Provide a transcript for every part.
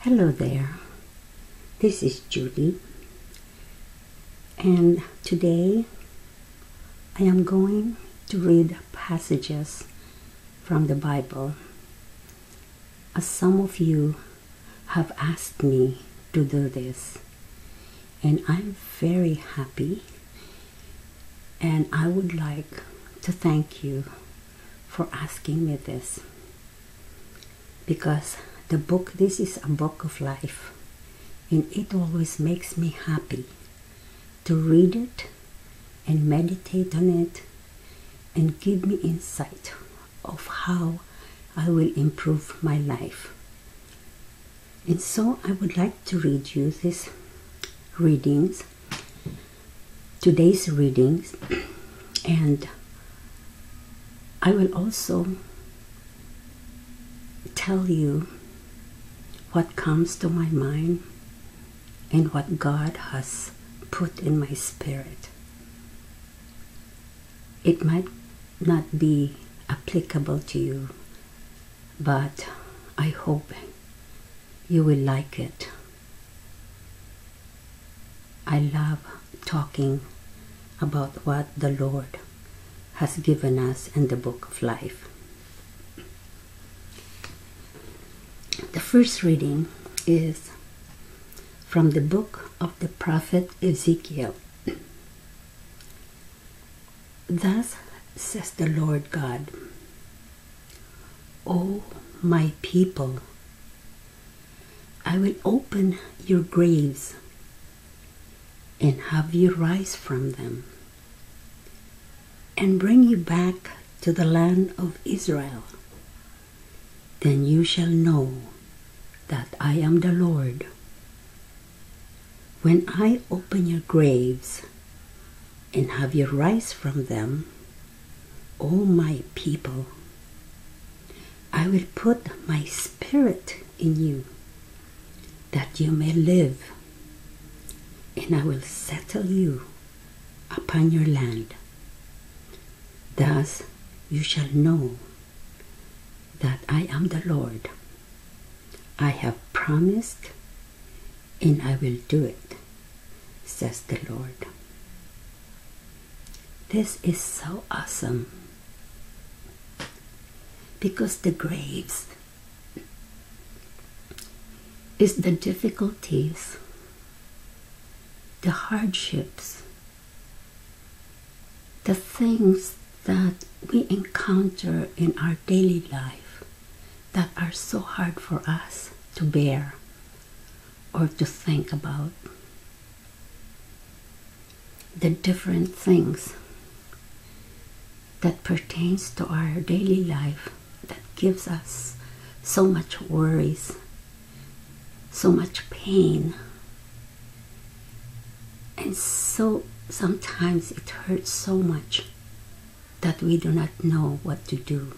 Hello there, this is Judy, and today I am going to read passages from the Bible. As some of you have asked me to do this, and I'm very happy and I would like to thank you for asking me this because the book, this is a book of life, and it always makes me happy to read it and meditate on it and give me insight of how I will improve my life. And so I would like to read you these readings, today's readings, and I will also tell you what comes to my mind and what God has put in my spirit. It might not be applicable to you, but I hope you will like it. I love talking about what the Lord has given us in the book of life. The first reading is from the book of the prophet Ezekiel. Thus says the Lord God, O my people, I will open your graves and have you rise from them and bring you back to the land of Israel. Then you shall know that I am the Lord when I open your graves and have you rise from them, O my people, I will put my spirit in you that you may live, and I will settle you upon your land. Thus you shall know that I am the Lord. I have promised and I will do it, says the Lord. This is so awesome because the graves is the difficulties, the hardships, the things that we encounter in our daily life that are so hard for us to bear or to think about. The different things that pertains to our daily life that gives us so much worries so much pain. And so sometimes it hurts so much that we do not know what to do.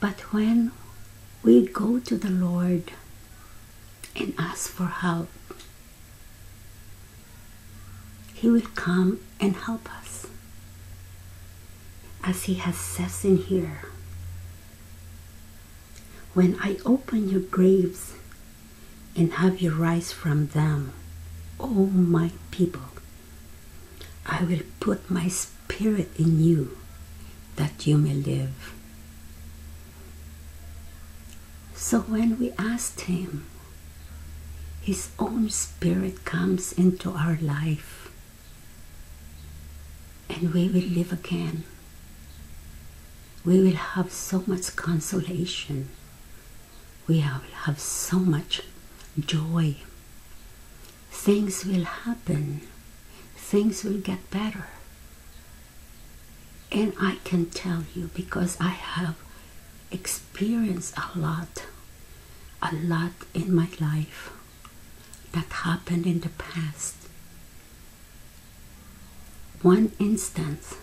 But when we go to the Lord and ask for help, He will come and help us as he has said in here. When I open your graves and have you rise from them, O my people, I will put my spirit in you that you may live. So when we asked him, his own spirit comes into our life and we will live again. We will have so much consolation. We will have so much joy. Things will happen. Things will get better. And I can tell you because I have experienced a lot a lot in my life that happened in the past. One instance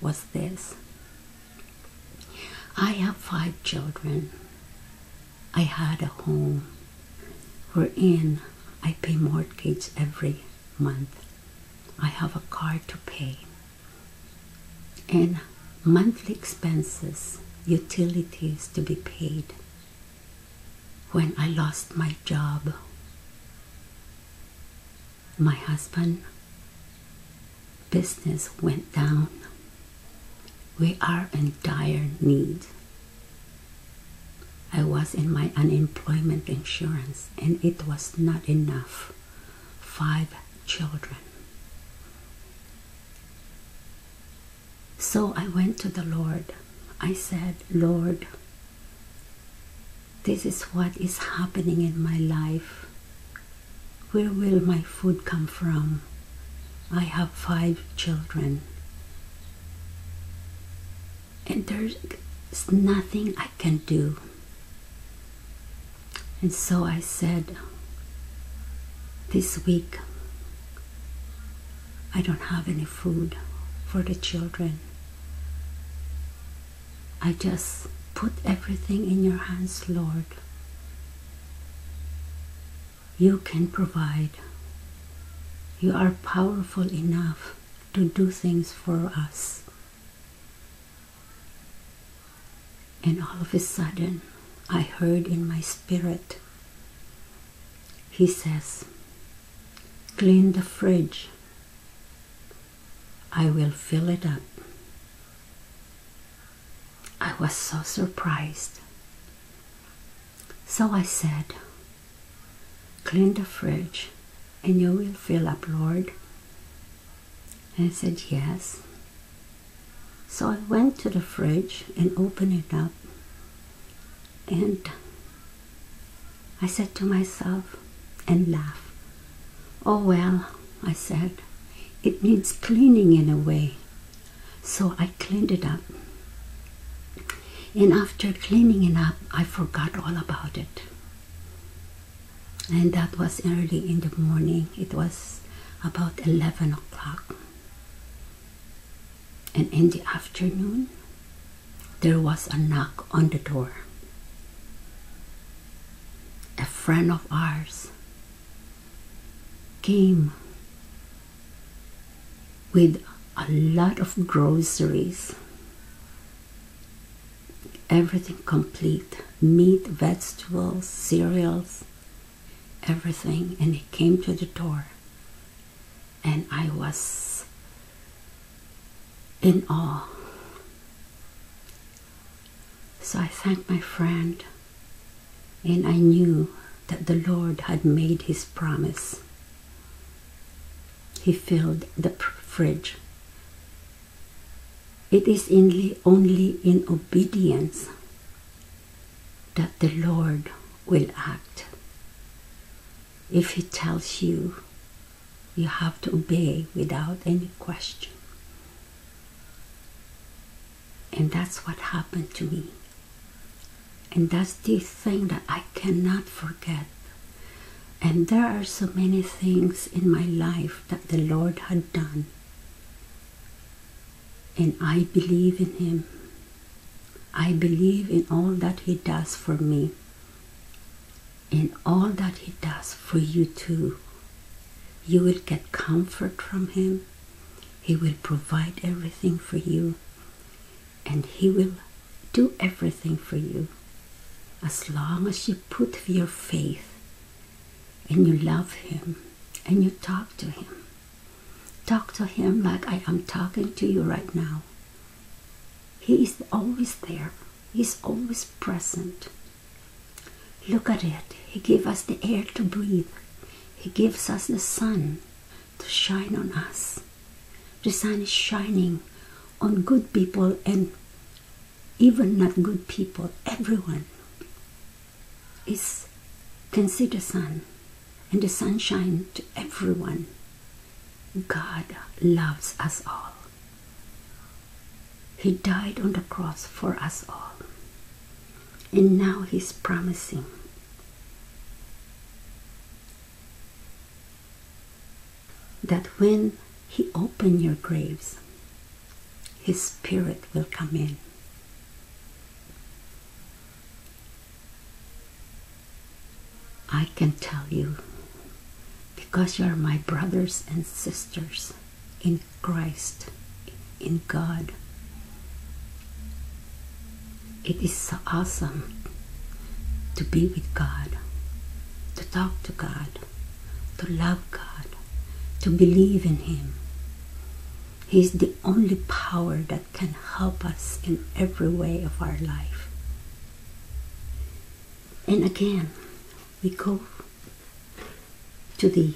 was this I have five children. I had a home wherein I pay mortgage every month. I have a car to pay and monthly expenses, utilities to be paid. When I lost my job, my husband business went down. We are in dire need. I was in my unemployment insurance and it was not enough five children. So I went to the Lord. I said, Lord, this is what is happening in my life. Where will my food come from? I have five children. And there's nothing I can do. And so I said, This week I don't have any food for the children. I just put everything in your hands, Lord. You can provide. You are powerful enough to do things for us. And all of a sudden, I heard in my spirit, he says, Clean the fridge. I will fill it up. I was so surprised. So I said, Clean the fridge and you will fill up, Lord. I said, Yes. So I went to the fridge and opened it up. And I said to myself and laughed. Oh well, I said, it needs cleaning in a way. So I cleaned it up. And after cleaning it up, I forgot all about it and that was early in the morning it was about 11 o'clock and in the afternoon there was a knock on the door a friend of ours came with a lot of groceries everything complete meat, vegetables, cereals, everything. And it came to the door. And I was in awe. So I thanked my friend, and I knew that the Lord had made his promise he filled the fridge. It is only in obedience that the Lord will act. If He tells you, you have to obey without any question. And that's what happened to me. And does this thing that I cannot forget. And there are so many things in my life that the Lord had done. And I believe in Him. I believe in all that He does for me. In all that He does for you too. You will get comfort from Him. He will provide everything for you and He will do everything for you as long as you put your faith and you love Him and you talk to Him. Talk to Him like I am talking to you right now. He is always there. He is always present. Look at it. He gives us the air to breathe. He gives us the sun to shine on us. The sun is shining on good people and even not good people. Everyone is can sun and the sunshine to everyone. God loves us all. He died on the cross for us all. And now He's promising that when He open your graves, His Spirit will come in. I can tell you, because you are my brothers and sisters in Christ, in God. It is so awesome to be with God, to talk to God, to love God, to believe in Him. He is the only power that can help us in every way of our life. And again, we go to the